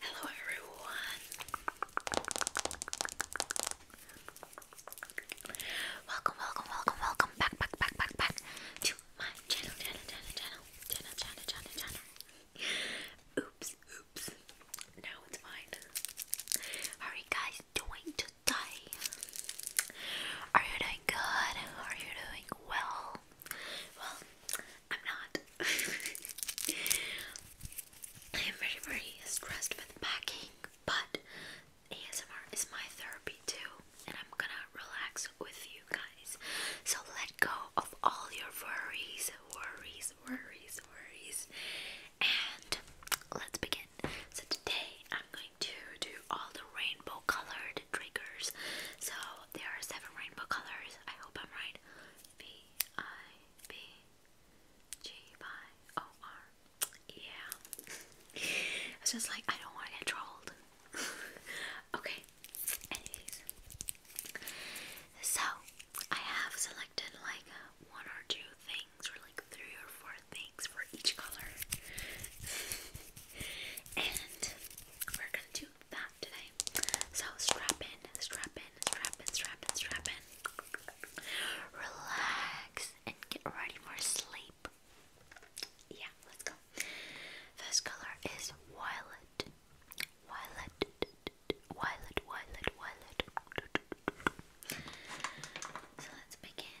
Hello everyone. Welcome, welcome, welcome, welcome back, back, back, back, back to my channel, channel, channel, channel, channel, channel, channel, channel. Oops, oops. Now it's mine. How are you guys doing today? Are you doing good? Are you doing well? Well, I'm not. I am very, very stressed with packing, but ASMR is my therapy too, and I'm gonna relax with you guys. So let go of all your worries, worries, worries, worries, and let's begin. So today I'm going to do all the rainbow colored triggers. So there are seven rainbow colors. I hope I'm right. V-I-B-G-Y-O-R. Yeah. it's just like, I don't want to get trolled. okay. Anyways. So, I have selected like one or two things, or like three or four things for each color. and we're gonna do that today. So strap in, strap in, strap in, strap in, strap in. Relax and get ready for sleep. Yeah, let's go. First color is violet. Violet. Violet, violet, violet. So let's begin.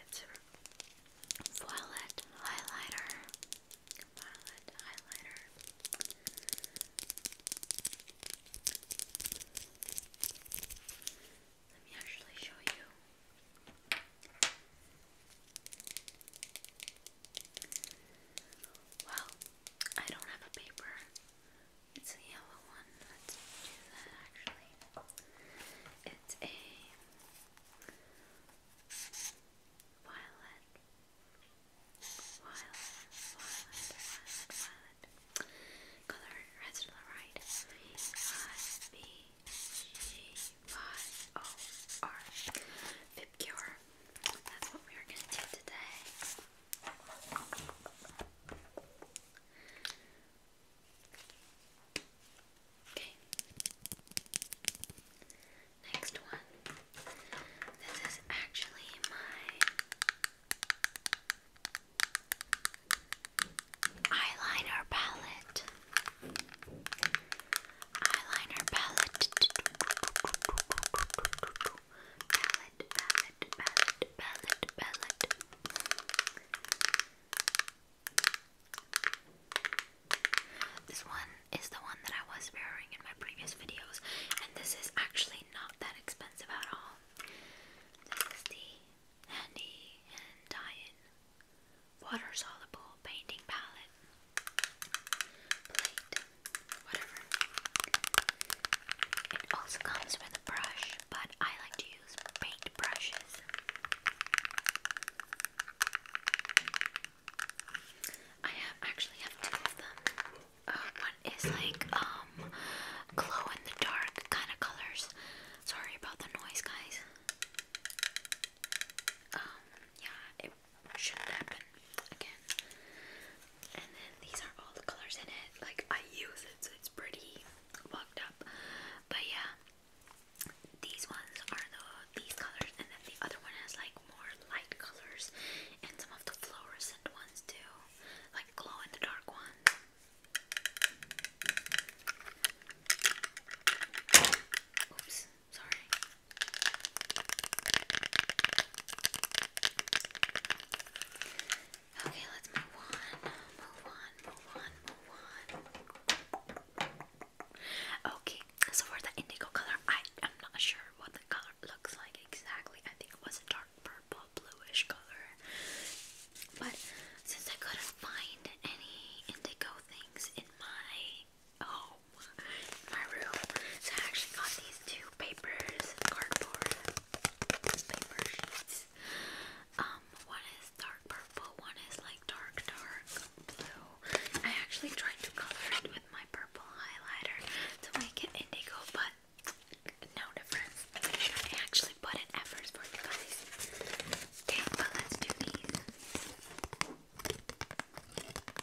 It's a violet highlighter. Violet highlighter. Let me actually show you. Well, I don't have a paper. It's a yellow one. Let's do that actually. It's a violet. Violet, violet, violet, Color red to right. V I B G Y O R. Fibcure. That's what we are going to do today. Okay. Next one. This is actually my eyeliner palette. Eyeliner palette palette, palette, palette, palette, palette. This one is the one that I was wearing in my previous videos, and this is actually not that expensive at all. This is the Handy and dye Water Soluble Painting Palette plate, whatever. It also comes with a brush, but I like to use paint brushes. I have actually have two of them. Uh, one is like um glow in the dark kind of colors. Sorry about the noise, guys. Um, yeah, shouldn't happen again. And then these are all the colors in it. Like I use it, so it's pretty fucked up. But yeah, these ones are the these colors, and then the other one has like more light colors and some of the fluorescent ones too, like glow in the dark ones. Oops. Sorry. Okay, let's move on. Move on, move on, move on. Okay, so for the indigo color, I am not sure what the color looks like exactly. I think it was a dark purple, bluish color. But since I couldn't find any indigo things in my Oh, my room. So I actually got these two papers, cardboard paper sheets. Um, one is dark purple, one is like dark, dark blue. I actually tried to color it with my purple highlighter to make it indigo, but no difference. I actually put in efforts for you guys. Okay, but let's do these.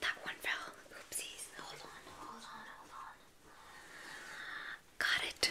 That one fell. Oopsies. Hold on, hold on, hold on. Got it.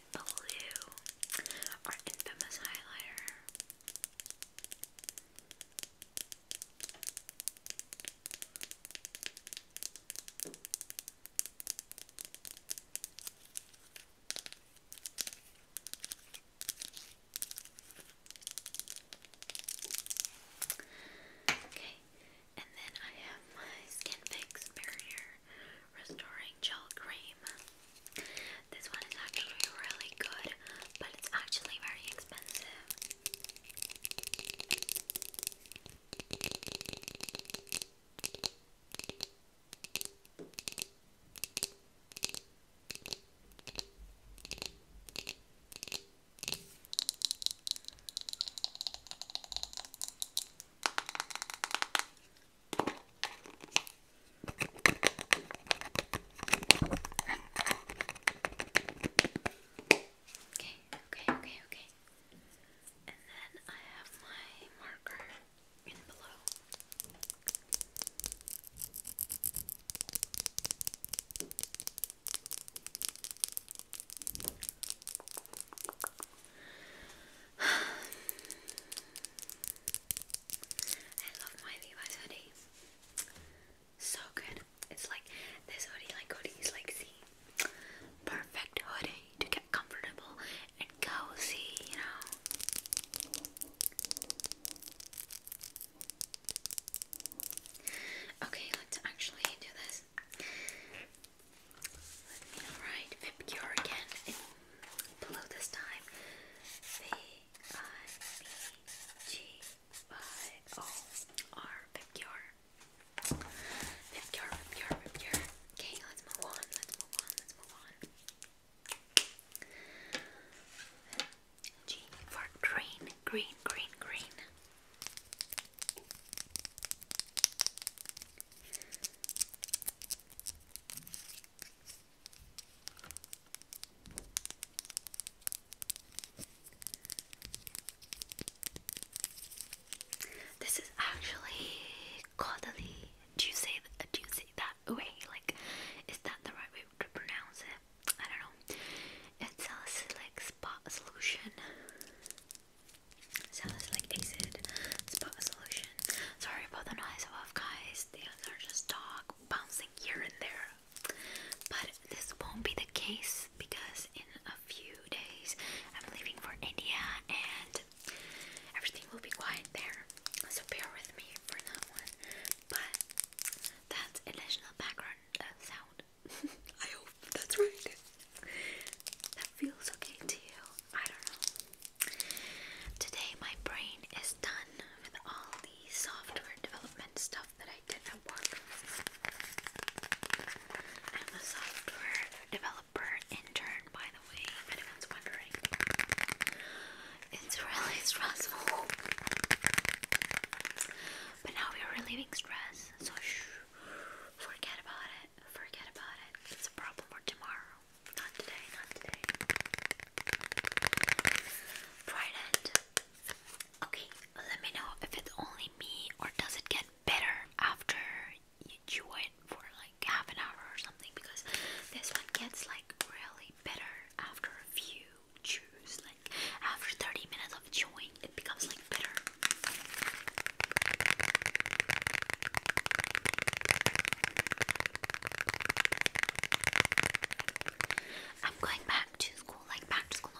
blue, our infamous highlighter. Okay, and then I have my skin barrier Restoring Gel Cream. This one is actually really good, but it's actually very expensive. Okay, okay, okay, okay. And then I have my marker in below. I love my Levi's hoodie. So good. It's like this hoodie, like hoodies, like the perfect hoodie to get comfortable and cozy, you know. Okay, let's actually do this. Let me write Vipcure again below this time. V-I-B-G-Y-O-R, Vipgyar. Vipgyar, Vipgyar, Vipgyar. Okay, let's move on, let's move on, let's move on. G for green, green, green, green. This is actually quarterly. Do you say do you say that way? Like, is that the right way to pronounce it? I don't know. It's a like spot solution. Sounds like acid. Spot a solution. Sorry about the noise above, guys. The are just dog bouncing here and there. But this won't be the case because in a few days I'm leaving for India and everything will be quiet there. So bear with me for that one. But that's additional background uh, sound. I hope that's right. That feels okay to you. I don't know. Today, my brain is done with all the software development stuff that I did at work. I'm a software developer intern, by the way, if anyone's wondering. It's really stressful. But now we are relieving stress, so forget about it. Forget about it. It's a problem for tomorrow not today, not today. Trident. Okay, let me know if it's only me or does it get better after you chew it for like half an hour or something because this one gets like really bitter after a few chews. Like after 30 minutes of chewing, it becomes like bitter. I'm going back to school, like back to school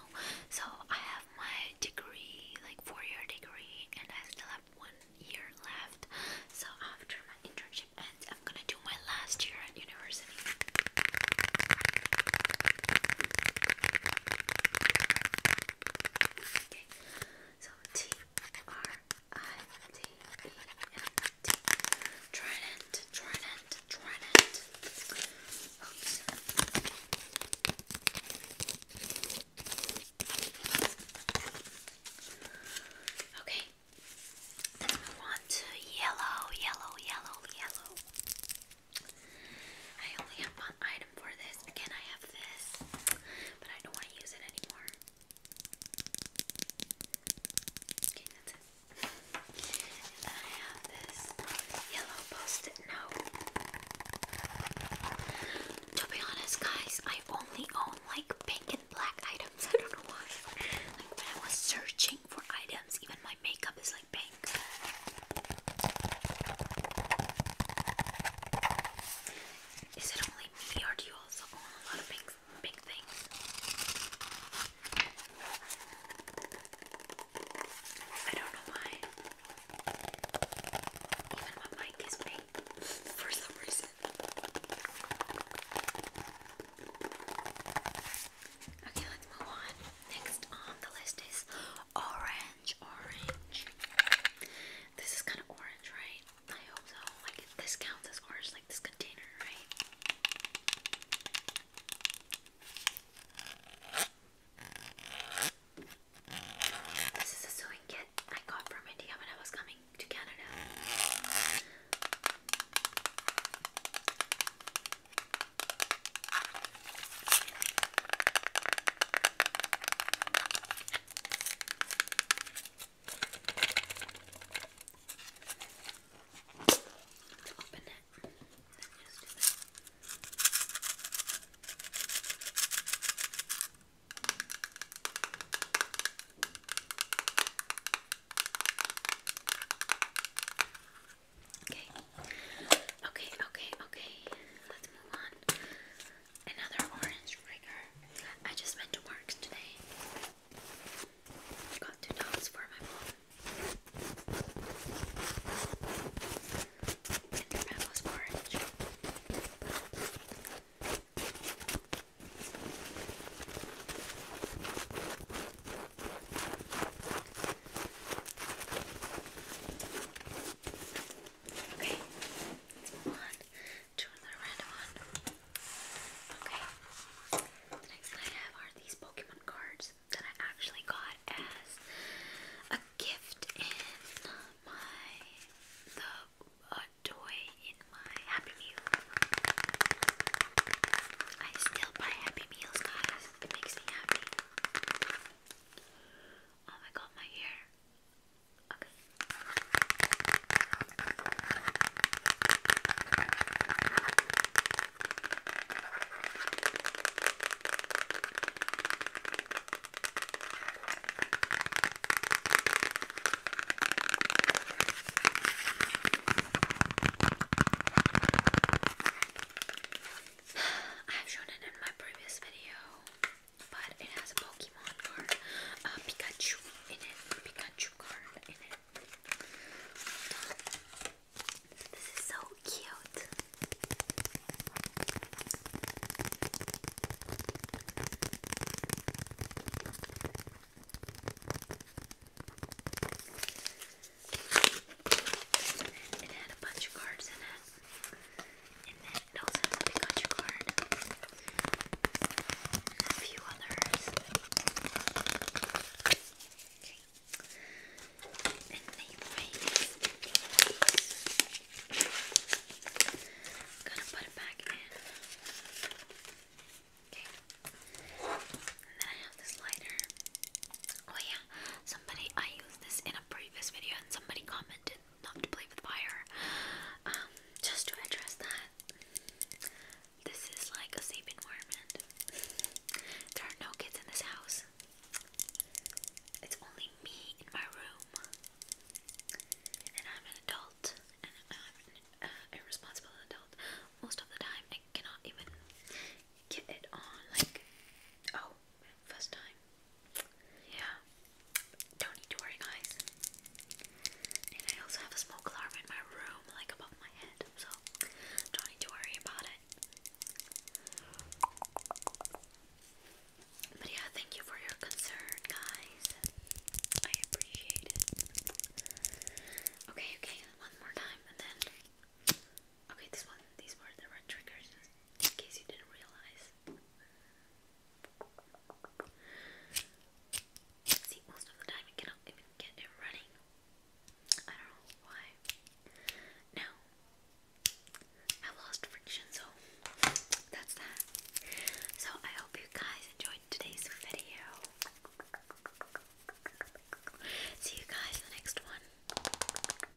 So I have my degree, like four year degree, and I still have one year left. So after my internship ends, I'm gonna do my last year at university. Okay, so T R I-T-E-N-T. Trident, trident, trident. Okay. Let's to yellow, yellow, yellow, yellow. I only have one item for this. Again, I have this but I don't want to use it anymore. Okay, that's it. And then I have this yellow post-it To be honest, guys, I only own like pink and black items. I don't know why. Like when I was searching for items, even my makeup is like pink. Is it only me or do you also own a lot of big, big things? I don't know why. Even my mic is big for some reason. Okay, let's move on. Next on the list is orange orange, orange. This is kind of orange, right? I hope so. Like this counts as orange, like this container, right? This is a sewing kit I got from India when I was coming to Canada. Open it. Okay. Okay, okay, okay. Let's move on. Another orange trigger. I just went to work today. Got two dogs for my mom. And their bag was orange. Okay, let's move on random one. Okay, the next thing I have are these Pokemon cards that I actually got as a gift in my the toy in my Happy Meal. I still buy Happy Meals, guys. It makes me happy. Oh my god, my hair. I've shown it in my previous video but it has a Pokemon card, a Pikachu in it, Pikachu card in it. This is so cute. It had a bunch of cards in it. And then also has a Pikachu card. And a few others. Okay. And they weigh i gonna put it back in. Okay. And then I have this lighter. Oh yeah, somebody I used this in a previous video and somebody commented love to play with fire. Um, just to address that, this is like a safe environment. there are no kids in this house. It's only me in my room, and I'm an adult, and I'm an uh, irresponsible adult. Most of the time, I cannot even get it on. Like, oh, First time. Yeah. Don't need to worry, guys. And I also have a smoke alarm in my room, like above my head, so don't need to worry about it. But yeah, thank you for your concern, guys. I appreciate it. Okay, okay, one more time, and then Okay, this one, these were the red triggers, in case you didn't realize. See, most of the time you cannot even get it running. I don't know why. Now, I lost friction, so that's that. So, I hope you guys enjoyed today's video. See you guys in the next one.